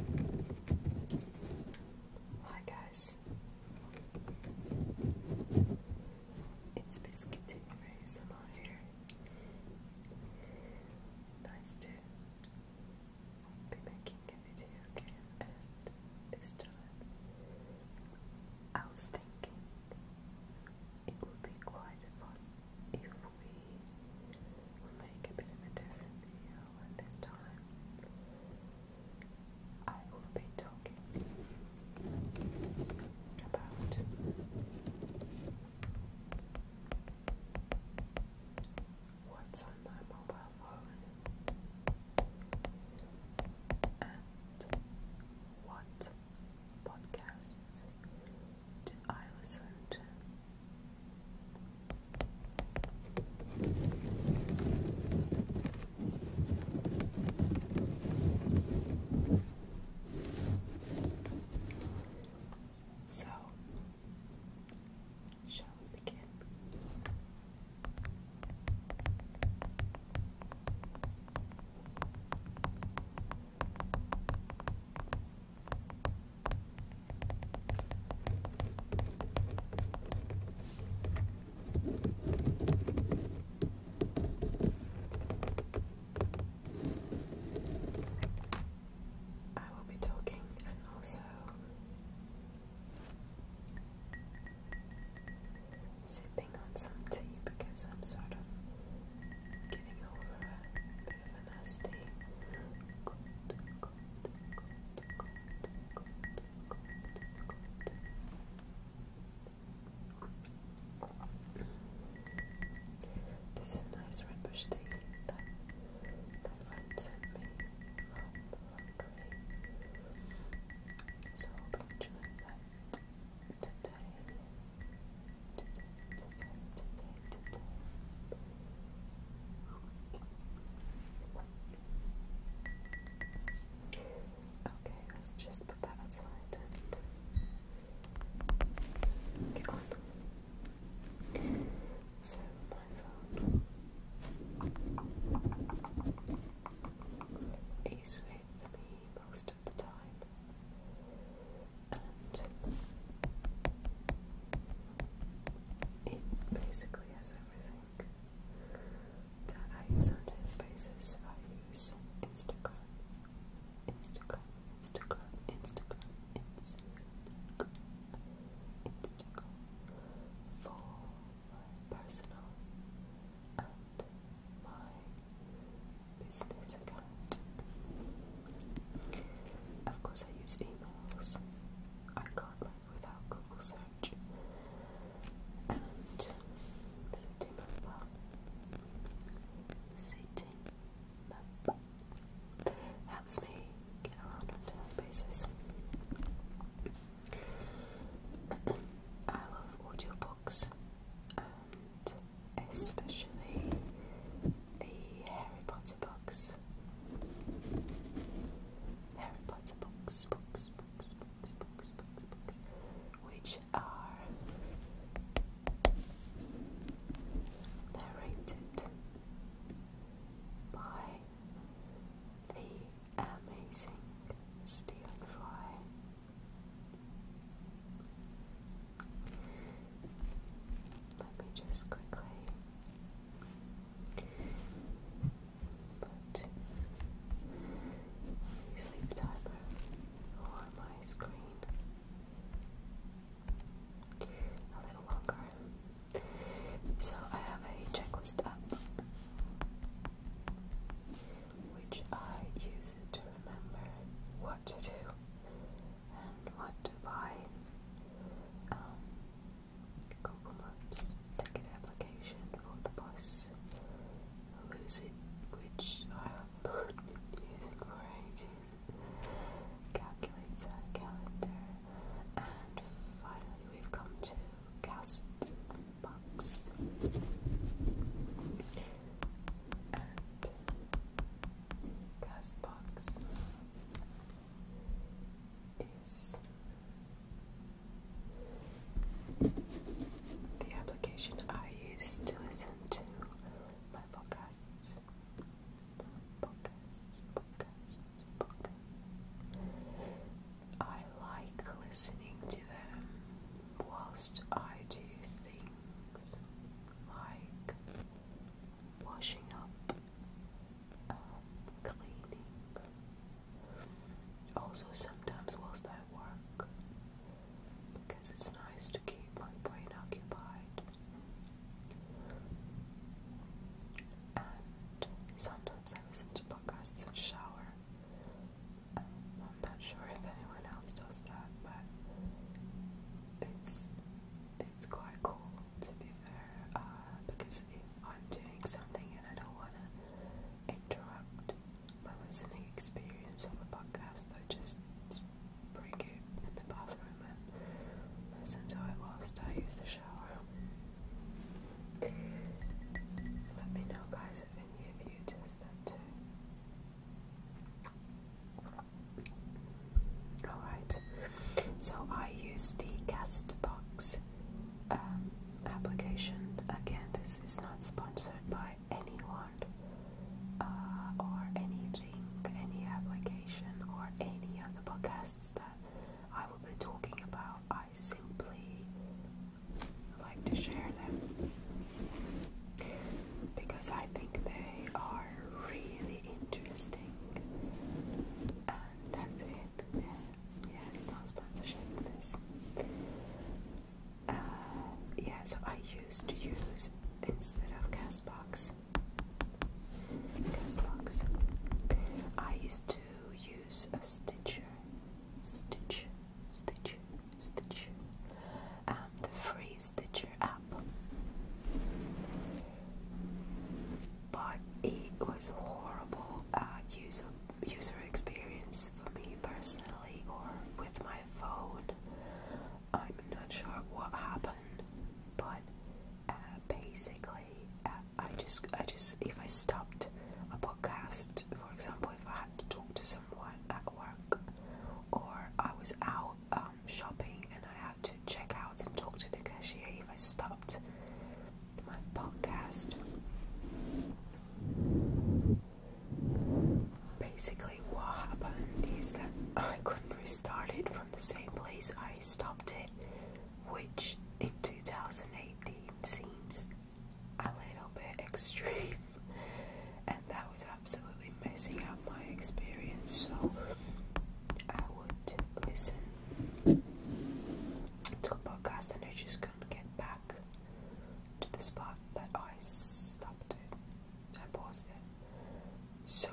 Hi guys, it's Biscuit and Ray's i here. Nice to be making a video again, and this time I was thinking it would be quite fun if we We'll make a bit of a different video at this time. I will be talking about what's on my mobile phone and what podcasts do I listen to. So, shall we begin? I will be talking and also sipping on some tea because I'm sort of getting over it of a This is a nice red bush tea that my friend sent me So I today. Okay, let's just put that aside and get on. So, my phone is with me most of the time, it basically has everything that I use on a daily basis. I use Instagram, Instagram, Instagram, Instagram, Instagram, Instagram for my personal and my business account. Of course, I use emails. I can't live without Google search. And city map. City map helps me get around on a daily basis. I love audio books, and especially the Harry Potter books. Harry Potter books, books, books, books, books, books, books, which are narrated by the amazing Stephen Let me just quickly but sleep timer or my screen a little longer. So I have a checklist app which I use to remember what to do and what to buy. Google Maps ticket application for the bus Lucid, which I have not been using for ages, calculates calendar, and finally we've come to Castbox. Castbox is the application I use to listen to my podcasts. Podcasts, podcasts, podcasts. I like listening to them whilst I do things like washing up, um, cleaning. Also, sometimes whilst I work, because it's nice to keep my brain occupied. And sometimes I listen to podcasts and shower. Um, I'm not sure if anyone else does that, but it's it's quite cool to be fair, uh, because if I'm doing something and I don't want to interrupt my listening experience of a podcast, I just bring it in the bathroom and listen to it whilst I use the shower. Let me know, guys, if any of you test that too. Alright, so I use the Castbox um, application. Again, this is not sponsored by anyone uh, or anything, any application, or any of the podcasts that I will be talking about. I simply like to share them because I think they are really interesting. that's it. Yeah, it's not sponsorship. This. Uh, yeah, so I used to use instead of Castbox. Castbox. I used to use Stitcher. Stitcher. Stitcher. Stitcher. Um, the free Stitcher app. But it was horrible uh, user user experience for me personally, or with my phone. I'm not sure what happened, but uh, basically, uh, I just I just if I stopped a podcast, for example, if I had to talk to someone at work, or I was out um, shopping and I had to check out and talk to the cashier if I stopped my podcast. Basically, what happened is that I couldn't restart it from the same place I stopped it, which in 2018 seems a little bit extreme, and that was absolutely messing up my experience. So, I would listen to a podcast and I just couldn't get back to the spot that I stopped it. I paused it. So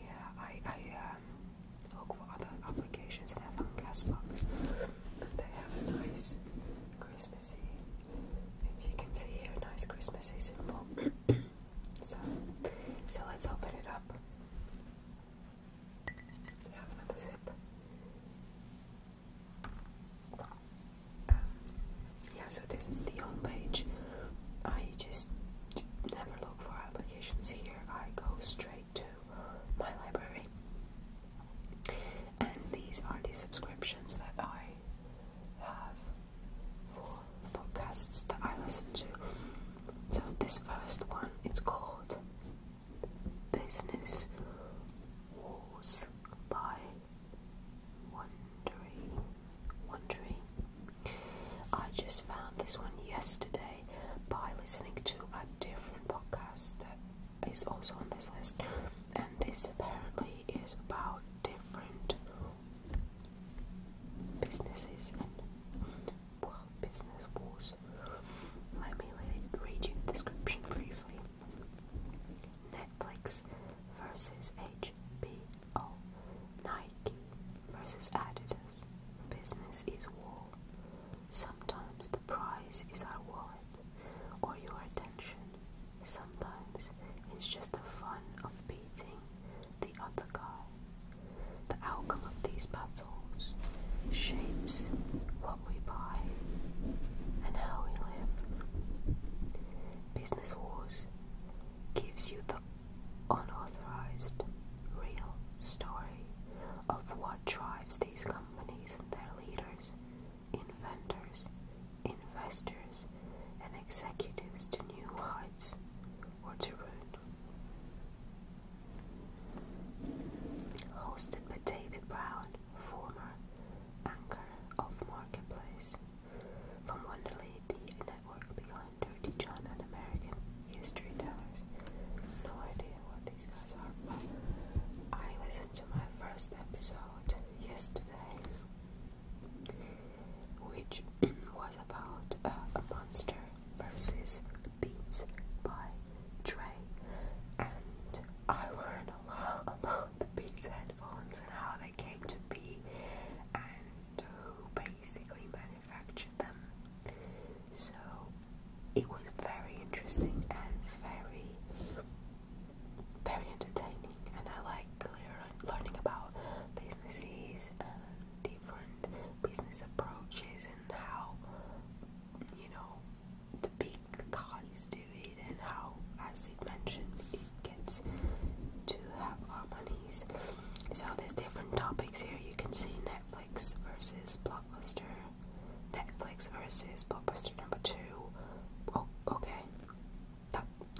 yeah, I I um, look for other applications and I found They have a nice Christmassy. If you can see here, nice Christmassy symbol. So, so let's open it up. Have another sip. Um, yeah, so this is the on page. I just never look for applications here. I go straight to my library, and these are the subscriptions that I have for podcasts that I listen to. So this first one, it's called Business Wars by Wondery. Wondery. I just found this one yesterday by listening to a different podcast that is also on this list, and this apparently is about different businesses and well, business wars. Let me read you the description briefly. Netflix versus HBO, Nike versus Adidas. Business is war. Sometimes the prize is our wallet or your attention. Sometimes it's just the fun of beating the other guy. The outcome of these battles shapes what we buy and how we live. Business Wars gives you the unauthorized, real story of what drives these companies and their leaders, inventors, investors, and executives to new heights. What's Your Wound? Hosted by David Brown, former anchor of Marketplace. From Wonderley, the network behind Dirty John and American History Tellers. No idea what these guys are, but I listened to my first episode yesterday which was about a monster versus beats by Dre. And I learned a lot about the Beats headphones and how they came to be and who basically manufactured them. So it was very interesting and very, very entertaining. And I like learning about businesses and different business approaches and how you know the big guys do it and how as it mentioned it gets to have harmonies so there's different topics here you can see netflix versus blockbuster netflix versus blockbuster number two oh okay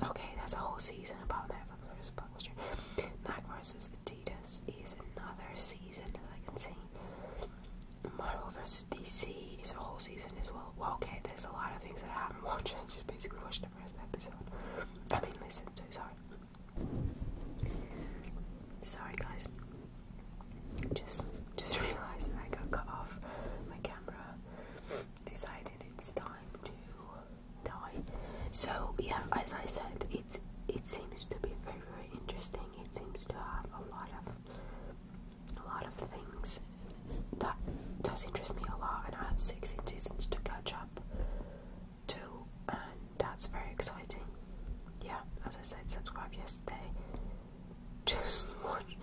okay, that's a whole season about that for Clarissa Buckminster. Nike versus Adidas is another season, as I can see. Marvel versus DC is a whole season as well. okay, there's a lot of things that I haven't watched. I just basically watched the first episode. I mean, listen to, sorry. Sorry, guys. Just, just realized that I got cut off my camera. Decided it's time to die. So yeah, as I said, it it seems to be very very interesting. It seems to have a lot of a lot of things that does interest me a lot, and I have six seasons to catch up to, and that's very exciting. Yeah, as I said, subscribe yesterday. Just watch,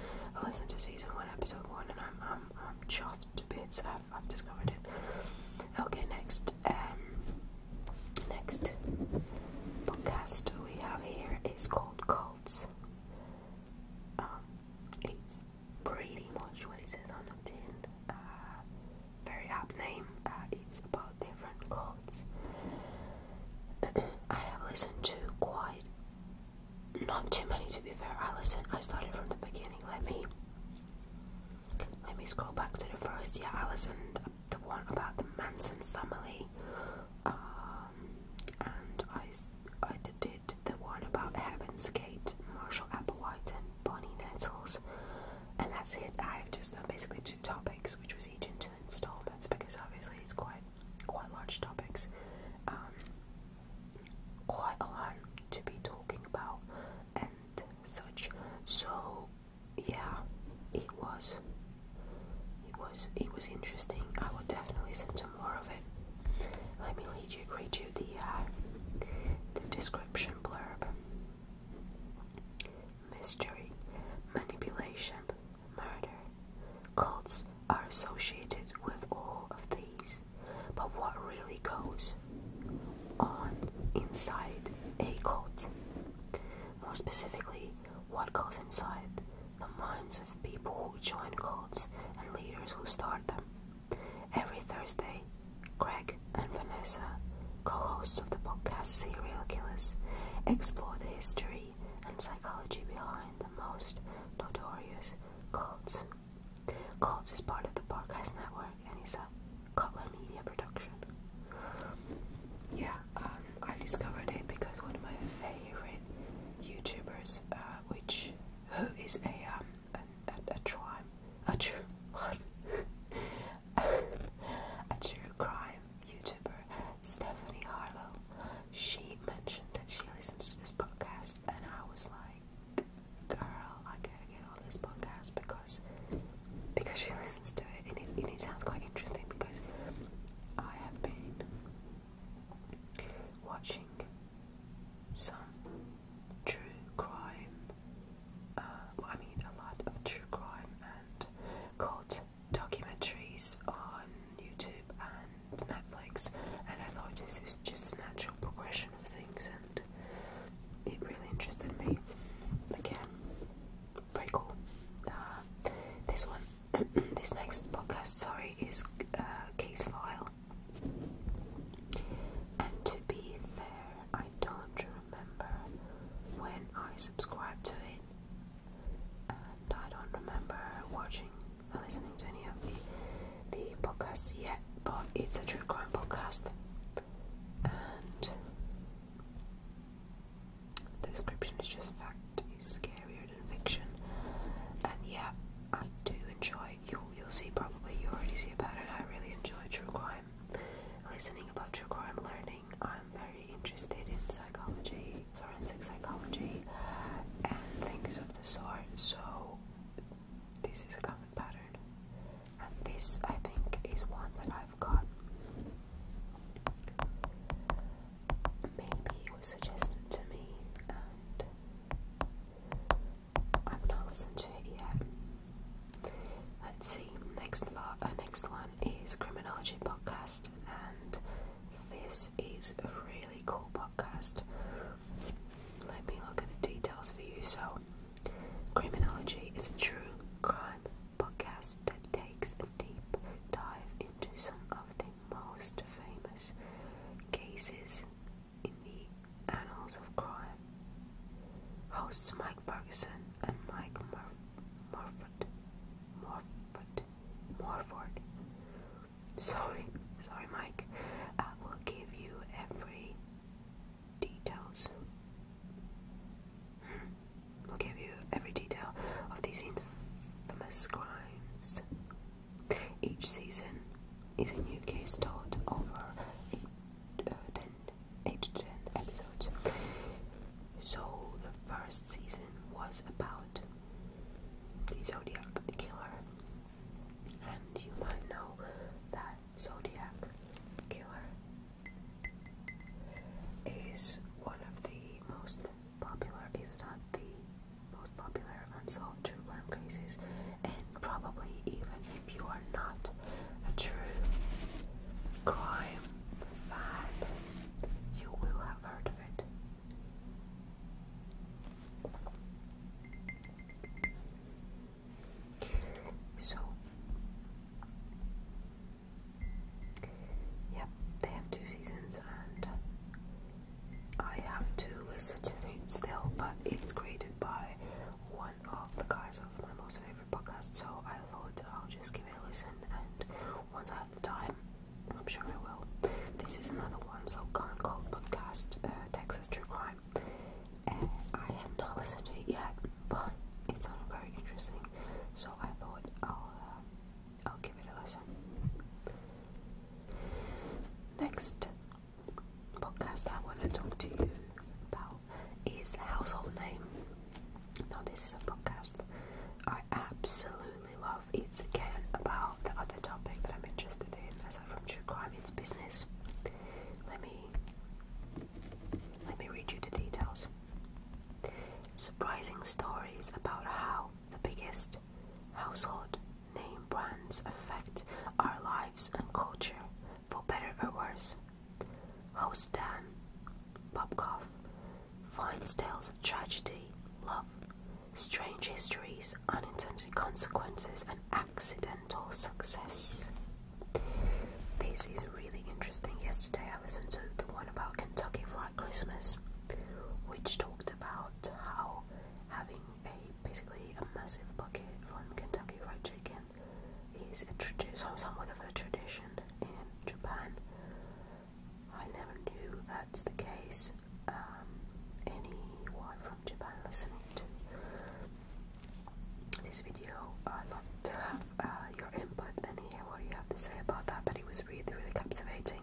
listen to season one, episode one, and I'm I'm I'm chuffed to bits. I've, discovered it. Okay, next. Um, next podcast we have here is called Cults. Um, it's pretty much what it says on the tin. Uh, very apt name. Uh, it's about different cults. I have listened to quite not too many to be fair. I listened. I started from the beginning. Let me let me scroll back to the first. year. Yeah, Alison, the one about the Manson family. Um, and I, I did the one about Heaven's Gate, Marshall Applewhite, and Bonnie Nettles. And that's it. I've just done basically two topics, which was each into installments because obviously it's quite quite large topics. Um, quite a lot to be talking about, such. So yeah, it was it was it was interesting. I would definitely listen to more of it. Let me read you read you the uh, the description blurb. Mystery, manipulation, murder. Cults are associated with all of the but what really goes on inside a cult? More specifically, what goes inside the minds of people who join cults and leaders who start them. Every Thursday, Greg and Vanessa, co hosts of the podcast Serial Killers, explore the history and psychology behind the most notorious cults Cults is part of the Podcast Network and it's a Cutler Media production. Yeah, um, I discovered it because one of my favorite YouTubers, uh, which who is a um a, crime a true a true crime YouTuber, Stephanie Harlow. She mentioned that she listens to this podcast, and I was like girl, I gotta get on this podcast because because she listens to it and it, sounds quite interesting because I have been watching some true crime. Uh, I mean, a lot of true crime and cult documentaries on YouTube and Netflix, and I thought this is just a natural progression of things. And it really interested me. Again, very cool. Uh, this one, this next podcast, sorry, is uh, Case File. And to be fair, I don't remember when I subscribed to it, and I don't remember watching or listening to any of the the podcast yet, but it's a true crime podcast. And the description is just fact is scarier than fiction. And yeah, I do enjoy you you'll see probably you already see a pattern. I really enjoy true crime. Listening about true crime learning. I'm very interested in psychology, forensic psychology and things of the sort. So this is a common pattern, and this I think is one that I've got. Maybe it was suggested to me, and I've not listened to it yet. Let's see. Next, lot, uh, next one is Criminology Podcast, and this is a really cool podcast. Let me look at the details for you. So, criminology is a true crime podcast that takes a deep dive into some of the most famous cases in the annals of crime. Hosts Mike Ferguson and Mike Mor- Morford. Morford. Morford. Sorry, sorry, Mike. I will give you every details. We'll give you every detail of these infamous crimes. Each season is a new case taught over eight, uh, episodes. So the first season was about the Zodiac Killer, and you might know that Zodiac Killer is one of the most popular, if not the most popular, unsolved true crime cases, and probably even if you are not a true crime fan, you will have heard of it. So, yep, they have two seasons, and I have to listen to it still, but it's created by one of the guys of my most favorite podcast, so I thought I'll just give it a listen, and once I have the time, I'm sure I will. This is another one, so Gone Cold Podcast, uh, Texas True Crime. I have not listened to it yet, but it sounded very interesting, so I thought I'll uh, I'll give it a listen. Next podcast I want to talk to you about is Household Name. Now this is a podcast I absolutely love. It's again about the other topic that I'm interested in from True Crime It's Business. Let me let me read you the details. Surprising stories about how the biggest household name brands affect our lives and culture, for better or worse. Host Dan Popkov finds tales of tragedy, love, strange histories, unintended consequences, and accidental success. This is really interesting. Yesterday I listened to the one about Kentucky Fried Christmas, which talked about how having a basically a massive bucket from Kentucky Fried Chicken is a tradition, somewhat of a tradition in Japan. I never knew that's the case. Um, Japan listening this video. I'd love to have uh, your input and hear what you have to say about that, but it was really, really captivating.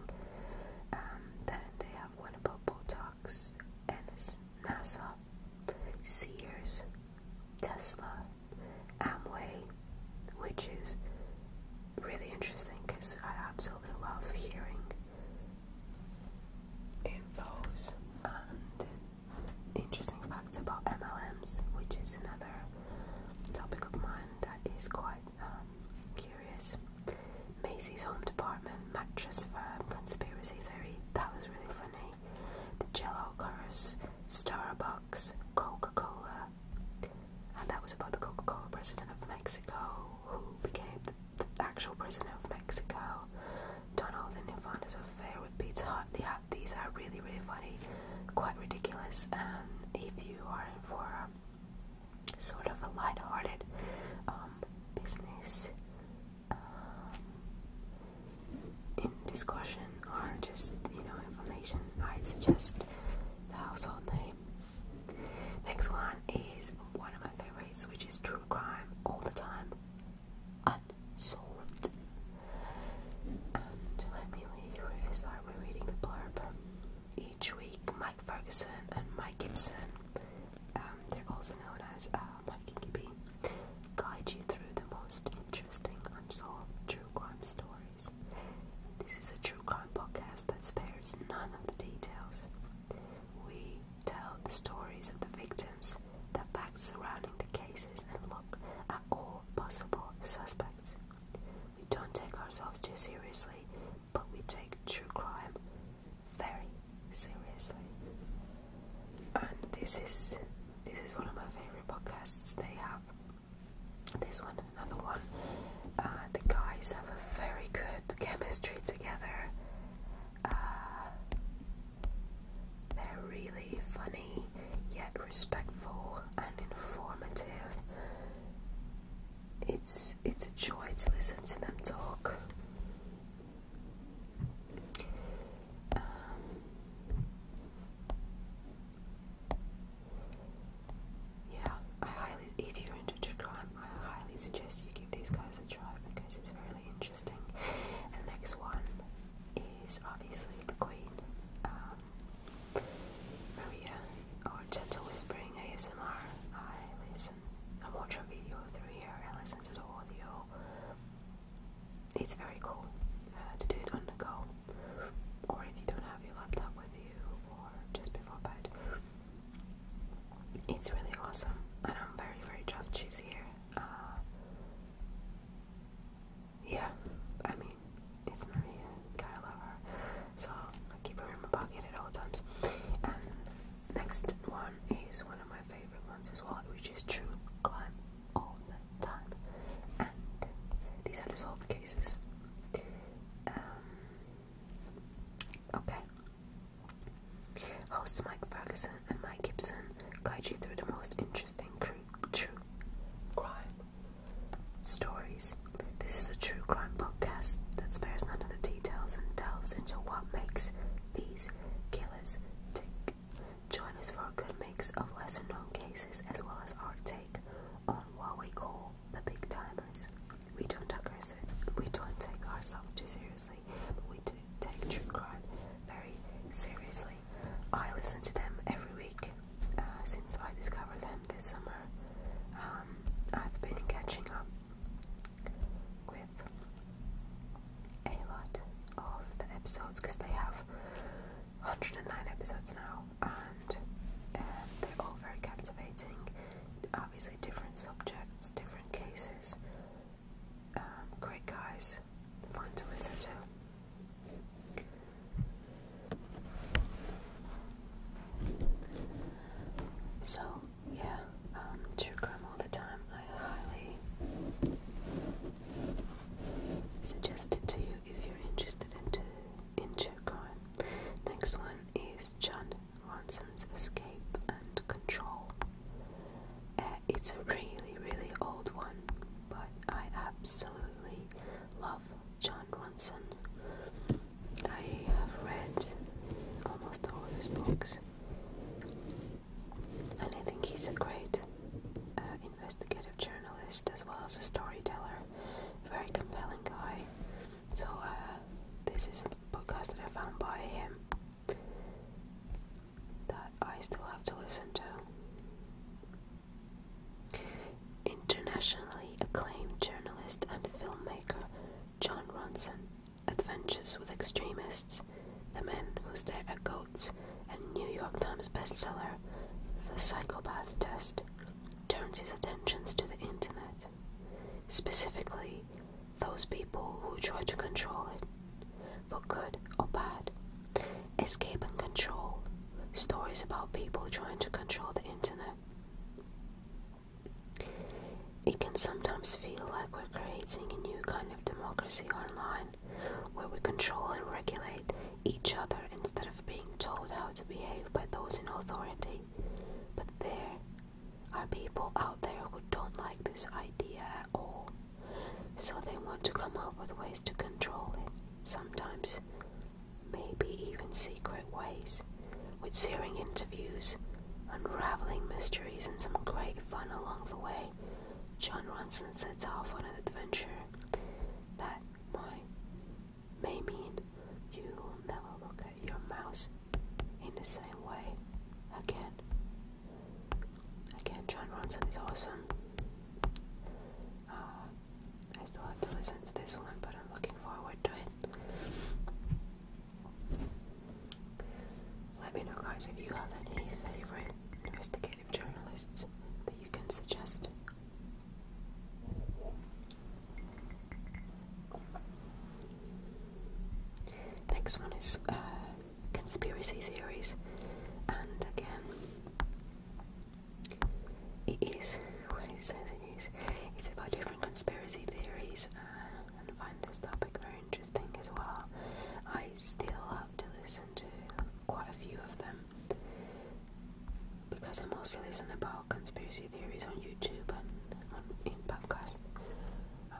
Um, then they have one about Botox, and it's NASA, Sears, Tesla, Amway, which is really interesting because I absolutely love hearing infos and interesting facts about MLMs, which is another topic of mine that is quite um, curious. Macy's Home Department, Mattress Firm, Conspiracy Theory, that was really funny. The Jello Curse, Starbucks, Coca Cola, and that was about the Coca Cola president of Mexico who became the, the actual president of Mexico. Donald and Nirvana's affair with Pizza Hut. Yeah, these are really, really funny, quite ridiculous. And if you are in for a, sort of a light-hearted um, business um, discussion or just you know information, I suggest the household name. Next one is one of my favorites, which is true crime all the time unsolved. And Emily, where is that? reading the blurb each week. Mike Ferguson and Mike Gibson, um, they're also known as uh, Mike and Gibby, guide you through the most interesting unsolved true crime stories. This is a true crime podcast that spares none of the details. We tell the stories of the victims, the facts surrounding the cases, and look at all possible suspects. We don't take ourselves too seriously, but we take true crime very seriously. And this is this is one of my favorite podcasts. They have this one another one. Uh, the guys have a very good chemistry together. Uh, they're really funny, yet respectful and informative. It's it's a joy to listen to them talk. Um, yeah, I highly if you're into true I highly suggest you give these guys a try because it's really interesting. And the next one is obviously the Queen, um, Maria, or Gentle Whispering ASMR. I listen, I watch her video through here, I listen to the audio. It's very cool uh, to do it on the go, or if you don't have your laptop with you, or just before bed. It's really awesome, and I'm very, very tough she's here. Uh, yeah, I mean, it's Maria and Kyle Lover, so I keep her in my pocket at all times. And next one is one of my favorite ones as well, which is True Crime All the Time. And these are the cases. Um, okay, Hosts Mike Ferguson and Mike Gibson guide you through the most interesting true crime stories. This is a true crime podcast that spares none of the details and delves into what makes these killers tick. Join us for a good mix of lesser known cases as well as our take on what we call the big timers. We don't take, we don't take ourselves too seriously we do take true crime very seriously. I listen to them every week uh, since I discovered them this summer. Um, I've been catching up with a lot of the episodes because they have 109 episodes now, and um, they're all very captivating. Obviously, different subjects, different cases, um, great guys, fun to listen to. So, yeah, um, all the time. I highly suggest it to you if you're interested into in true crime. Next one is John Ransom's Escape and Control. Uh, it's a really, really old one, but I absolutely love John Ransom. I have read almost all of his books, and I think he's a great uh, investigative journalist as well as a storyteller. Very compelling guy. So, uh, this is a podcast that I found by him that I still have to listen to. Internationally acclaimed journalist and filmmaker John Ronson Adventures with Extremists, The Men Who Stare at Goats, and New York Times bestseller The Psychopath Test turns his attentions to the internet, specifically those people who try to control it, for good or bad. Escape and control. Stories about people trying to control the internet. It can sometimes feel like we're creating a new kind of democracy online where we control and regulate each other instead of being told how to behave by those in authority. But there are people out there who don't like this idea at all, so they want to come up with ways to control it, sometimes, maybe even secret ways, with searing interviews, unraveling mysteries, and some great fun along the way. John Ronson sets off on an adventure that may mean you'll never look your mouse in the same way again. Again, John Ronson is awesome. Ah, I still have to listen to this one, but I'm looking forward to it. Let me know, guys, if you have any favorite investigative journalists that you can suggest. Next one is uh, conspiracy theories, and again, it is what it says it is. It's about different conspiracy theories, uh, and find this topic very interesting as well. I still have to listen to quite a few of them because I mostly listen about conspiracy theories on YouTube and on, in podcast area.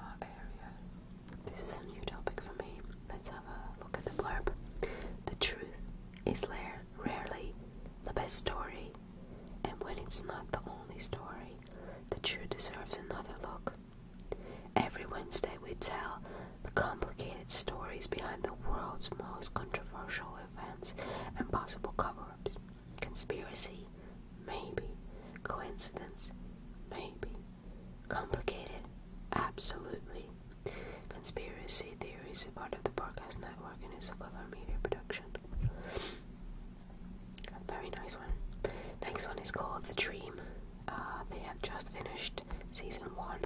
This is a new topic for me. Let's have a look at the blurb. The truth is rarely the best story, and when it's not the only story, the truth deserves another look. Every Wednesday, we tell the complicated stories behind the world's most controversial events and possible cover ups. Conspiracy, Maybe. Coincidence? Maybe. Complicated? Absolutely. Conspiracy theories are part of the podcast network and its a color media production. A very nice one. Next one is called The Dream. Uh, they have just finished season one.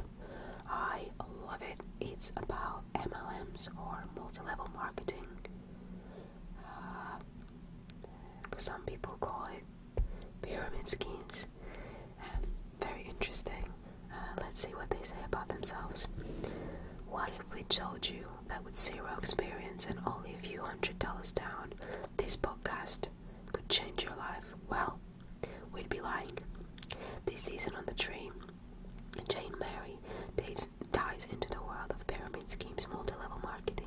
I love it. It's about MLMs or multi level marketing. Uh, some people call it pyramid schemes. Um, very interesting. Uh, let's see what they say about themselves. What if we told you that with zero experience and only a few hundred dollars down, this podcast could change your life? Well, we'd be lying. This season on the tree, Jane Mary, Dave this ties into the world of pyramid schemes, multi-level marketing,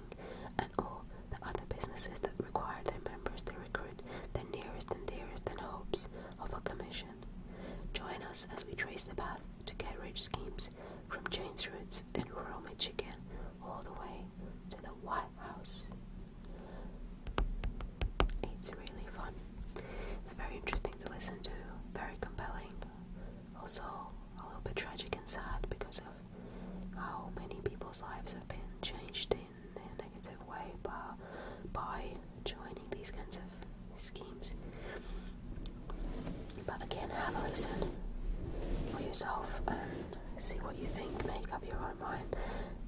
and all the other businesses that require their members to recruit their nearest and dearest in hopes of a commission. Join us as we trace the path to get rich schemes from Jane's roots in rural Michigan all the way to the White House. It's really fun. It's very interesting to listen to, very compelling, also a little bit tragic and sad because how many people's lives have been changed in a negative way by, joining these kinds of schemes. But again, have a listen for yourself and see what you think. Make up your own mind.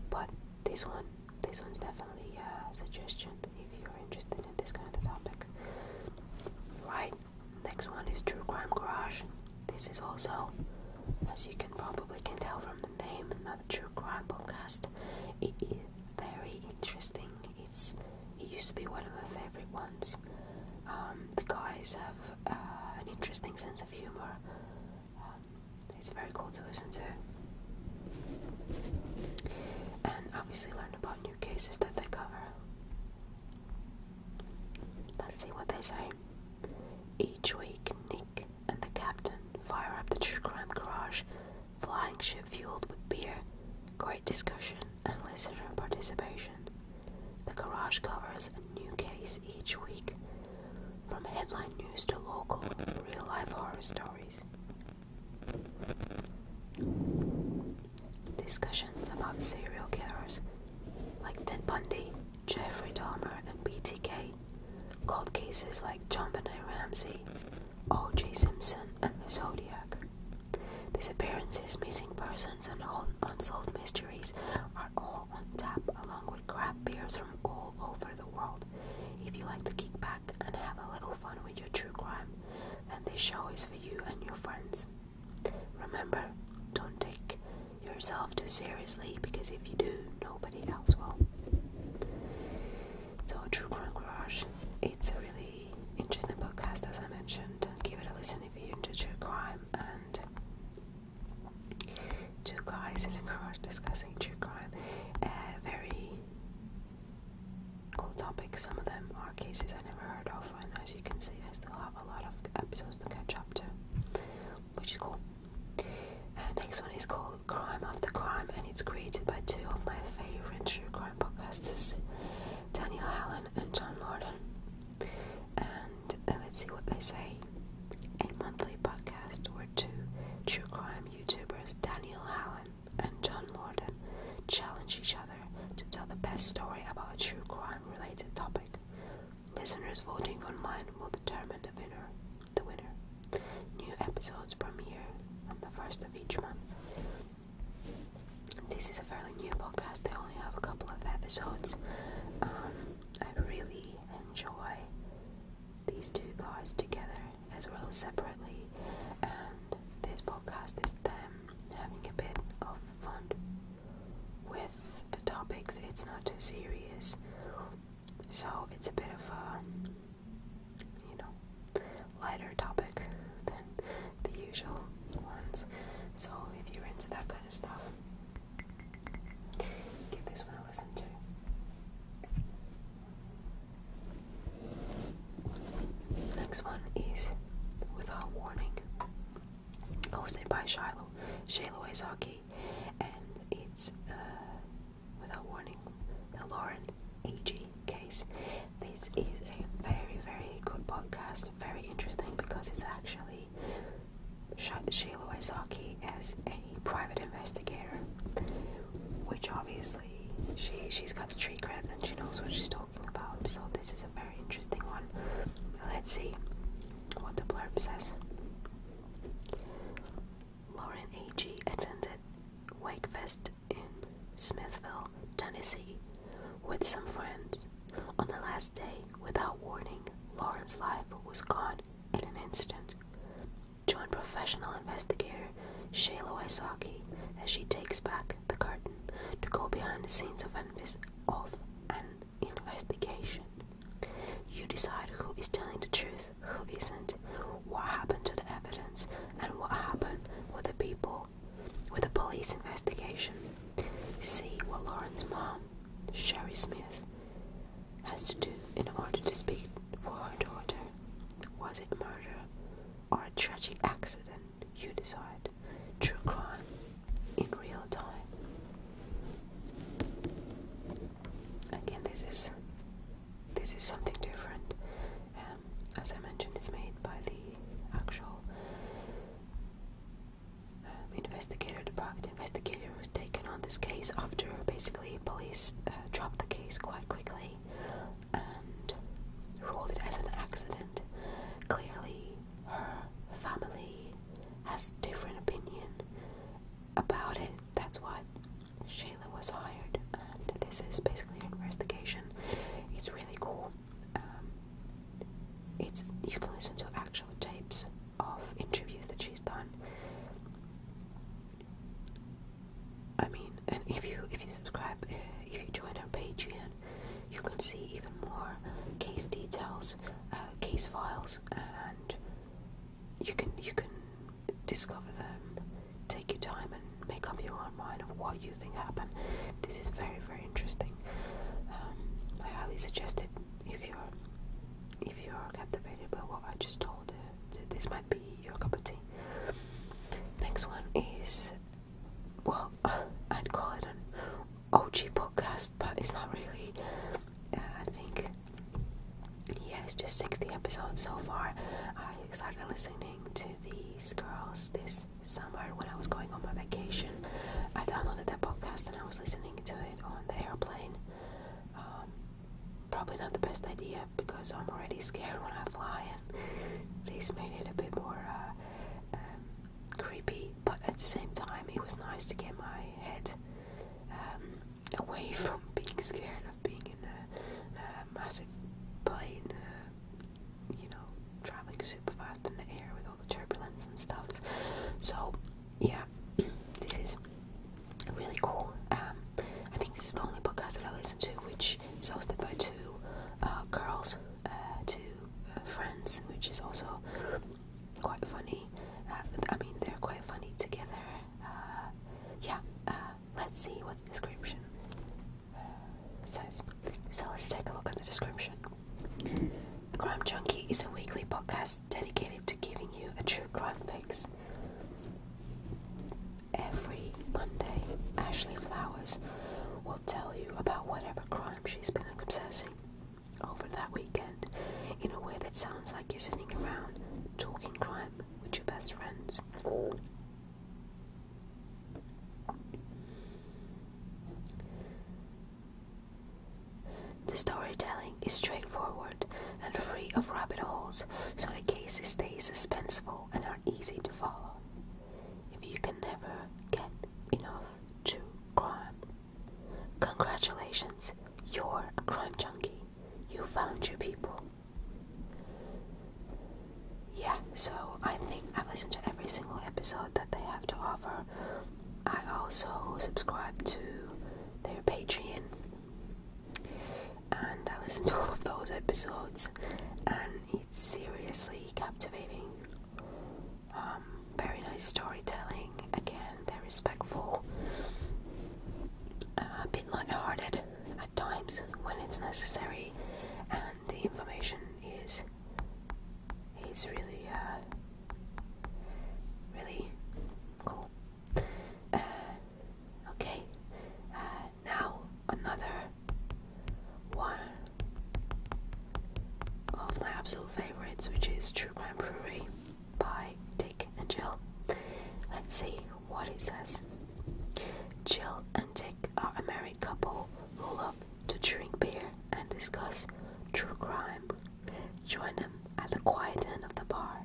But this one, this one's definitely a suggestion if you're interested in this kind of topic. Right, Next one is True Crime Garage. This is also, as you can probably can tell from the name, another true crime podcast. It is very interesting. It's it used to be one of my favorite ones. Um, the guys have uh, an interesting sense of humor. Um, it's very cool to listen to, and obviously learn about new cases that they cover. Let's see what they say. Each week, Nick and the captain fire up the true crime garage, flying ship fueled with beer, great discussion, and listener participation. The garage covers a new case each week, from headline news to local real life horror stories. Discussions about serial killers like Ted Bundy, Jeffrey Dahmer, and BTK, cold cases like John Benet Ramsey, O.J. Simpson, and the Zodiac. Disappearances, missing persons, and unsolved mysteries are all on tap, along with craft beers from all over the world. If you like to kick back and have a little fun with your true crime, then this show is for you and your friends. Remember, don't take yourself too seriously because if you do, nobody else will. So, True Crime Garage, it's a really interesting podcast as I mentioned. Give it a listen if you are into true crime and two guys in a garage discussing true crime. Uh, very cool topics. Some of them are cases I never heard of, and as you can see, I still have a lot of episodes to catch up to, which is cool. Uh, next one is called Crime After Crime, and it's created by two of my favorite true crime podcasters, Daniel Allen and John Lorden. And uh, let's see what they say. A monthly podcast where two true crime YouTubers, Daniel Allen and John Lorden, challenge each other to tell the best story about a true crime related topic. Listeners voting online will determine the winner. The winner. New episodes premiere on the first of each month. This is a fairly new podcast. They only have a couple of episodes. Um, I really enjoy these two guys together as well as separately, and this podcast is them having a bit of fun with the topics, it's not too serious. So it's a bit of a, you know, lighter topic than the usual ones. So if you're into that kind of stuff, give this one a listen to. Next one is without warning hosted by Shiloh, Shiloh Izaki, and it's uh, without warning the Lauren A.G. case. This is a very, very good podcast, very interesting because it's actually Shiloh Izaki as a private investigator, which obviously she she's got street cred and she knows what she's talking so this is a very interesting one. Let's see what the blurb says. Lauren A.G. attended Wakefest in Smithville, Tennessee, with some friends. On the last day, without warning, Lauren's life was gone in an instant. Join professional investigator Shayla Isaki as she takes back the curtain to go behind the scenes of an, of an investigation. You decide who is telling the truth, who isn't, what happened to the evidence, and what happened with the people with the police investigation. See what Lauren's mom, Sherry Smith, has to do in order to speak for her daughter. Was it murder or a tragic accident? you decide. True crime in real time. Again, this is this is something different. Um, as I mentioned, it's made by the actual um, investigator, the private investigator who's taken on this case after basically police uh, dropped the case quite quickly and ruled it as an accident. Clearly, her family has different opinion about it. That's why Shayla was hired, and this is basically an investigation. It's really cool. Um, it's you can listen to actual tapes of interviews that she's done. I mean, and if you if you subscribe, uh, if you join her Patreon, you can see even more case details, uh, case files, and you can you can discover them. Take your time and make up your own mind of what you think happened. This is very very interesting. Um, I highly suggest it if you're if you're captivated by what I just told. this might be your cup of tea. Next one is well, I'd call it an OG podcast, but it's not really. Uh, I think, yeah, it's just 60 episodes so far. I started listening to these girls this summer when I was going on my vacation. I downloaded their podcast and I was listening to it on the airplane. Um, probably not the best idea because I'm already scared when I fly, and this made it a bit more. Uh, um, creepy, but at the same time, it was nice to get my head um, away from being scared of being in a, massive plane, uh, you know, traveling super fast in the air with all the turbulence and stuff. So, yeah, this is really cool. Um, I think this is the only podcast that I listen to which is hosted by two uh, girls, uh, two friends, which is also quite funny. Uh, I mean, they're quite funny together. Uh, yeah, uh, let's see what the description says. So let's take a look at the description. Crime Junkie is a weekly podcast dedicated to giving you a true crime fix. Every Monday, Ashley Flowers will tell you about whatever crime she's been obsessing over that weekend in a way that sounds like you're sitting around talking crime with your best friends. The storytelling is straightforward and free of rabbit holes, so the cases stay suspenseful and are easy to follow if you can never get enough true crime. Congratulations, you're a crime junkie. You found your people. Yeah, so I think I've listened to every single episode that they have to offer. I also subscribe to their Patreon and I listen to all of those episodes and it's seriously captivating. Um, very nice storytelling. Again, they're respectful, uh, a bit lighthearted at times when it's necessary, and the information is is really uh, really cool. Uh, okay, now another one of my absolute favorites, which is True Crime Brewery by Dick and Jill. Let's see what it says. Jill and Dick are a married couple who love to drink beer and discuss true crime. Join them at the quiet end of the bar.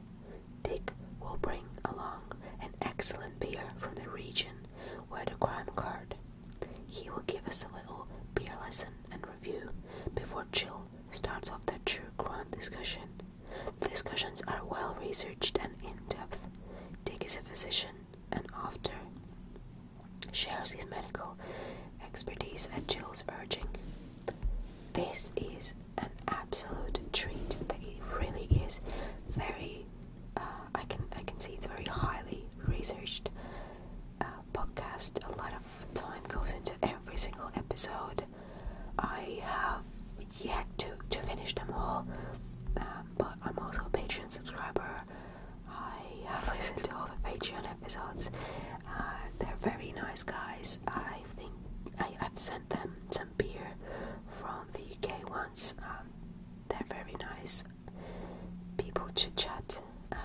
Dick will bring along an excellent beer from the region where the crime occurred. He will give us a little beer lesson and review before Jill starts off the true grand discussion. The discussions are well researched and in depth. Dick is a physician and after shares his medical expertise at Jill's urging. This is an absolute treat it really is very I can I can see it's very highly researched uh, podcast. A lot of time goes into every single episode. I have yet to to finish them all, um, but I'm also a Patreon subscriber. I have listened to all the Patreon episodes. Uh, they're very nice guys. I think I, I've sent them some beer from the UK once. Um, they're very nice people chit chat uh,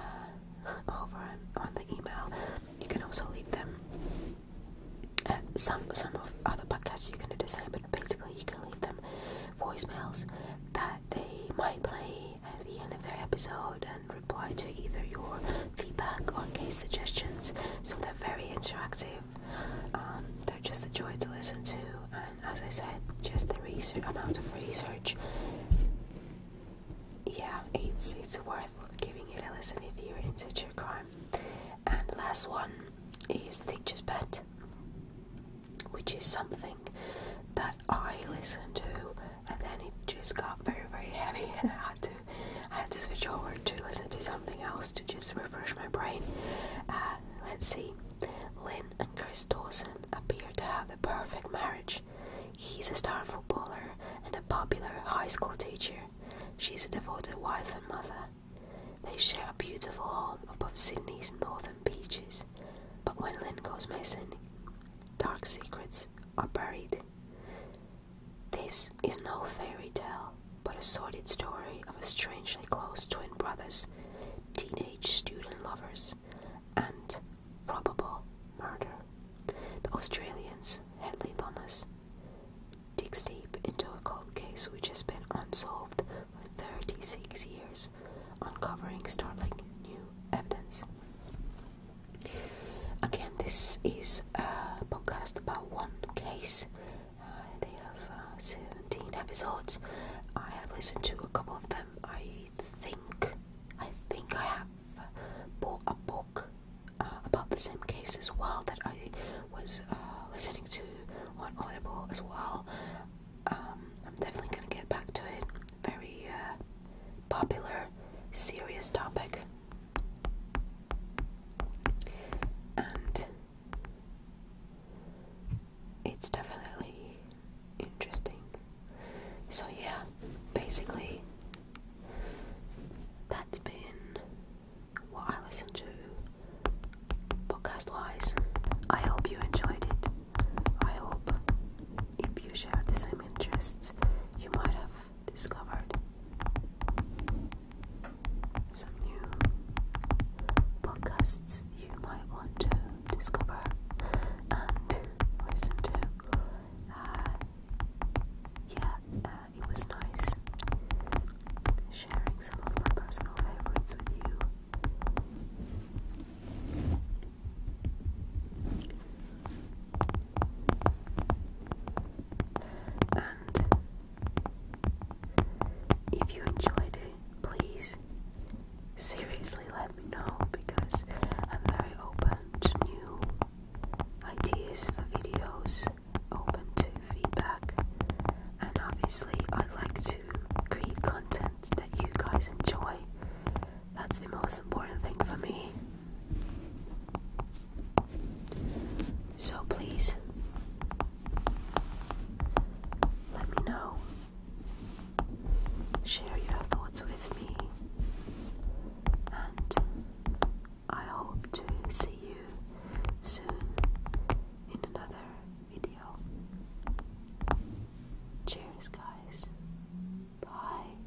over on the email. You can also leave them. Uh, some some of other podcasts you can do the same, but basically you can leave them voicemails that they might play at the end of their episode and reply to either your feedback or case suggestions. So they're very interactive. Um, they're just a joy to listen to, as I said, just the research amount of research. Yeah, it's it's worth giving it a listen if you're into true crime. And last one is Teacher's Pet, which is something that I listened to, and then it just got very very heavy, and I had to I had to switch over to listen to something else to just refresh my brain. Uh, let's see. Lynn and Chris Dawson appear to have the perfect marriage. He's a star footballer and a popular high school teacher. She's a devoted wife and mother. They share a beautiful home above Sydney's northern beaches. But when Lynn goes missing, dark secrets are buried. This is no fairy tale, but a sordid story of a strangely close twin brothers, teenage student lovers and probable murder. The Australians, Headley Thomas, digs deep into a cold case which has been unsolved for 36 years, uncovering startling new evidence. Again, this is a podcast about one case. Uh, they have uh, 17 episodes. I have listened to a couple of them. Um, I think I think I have bought a book uh, about the same case as well that I was uh, listening to on Audible as well. Um, I'm definitely gonna get back to it. Very uh, popular, serious topic. And it's definitely interesting. So, yeah, basically, that's been what I listened to podcast wise. I hope you enjoyed it. I hope if you share the same interests, you might have discovered some new podcasts you might want to discover and listen to. Uh, yeah, uh, it was nice sharing some of my personal favorites with you. And if you enjoyed it, please seriously let me know because I'm very open to new ideas for videos, open to feedback, and obviously, i like to create content that you guys enjoy. That's the most important thing for me. So, please let me know Share your thoughts with me, and I hope to see you soon in another video. Cheers, guys. Bye.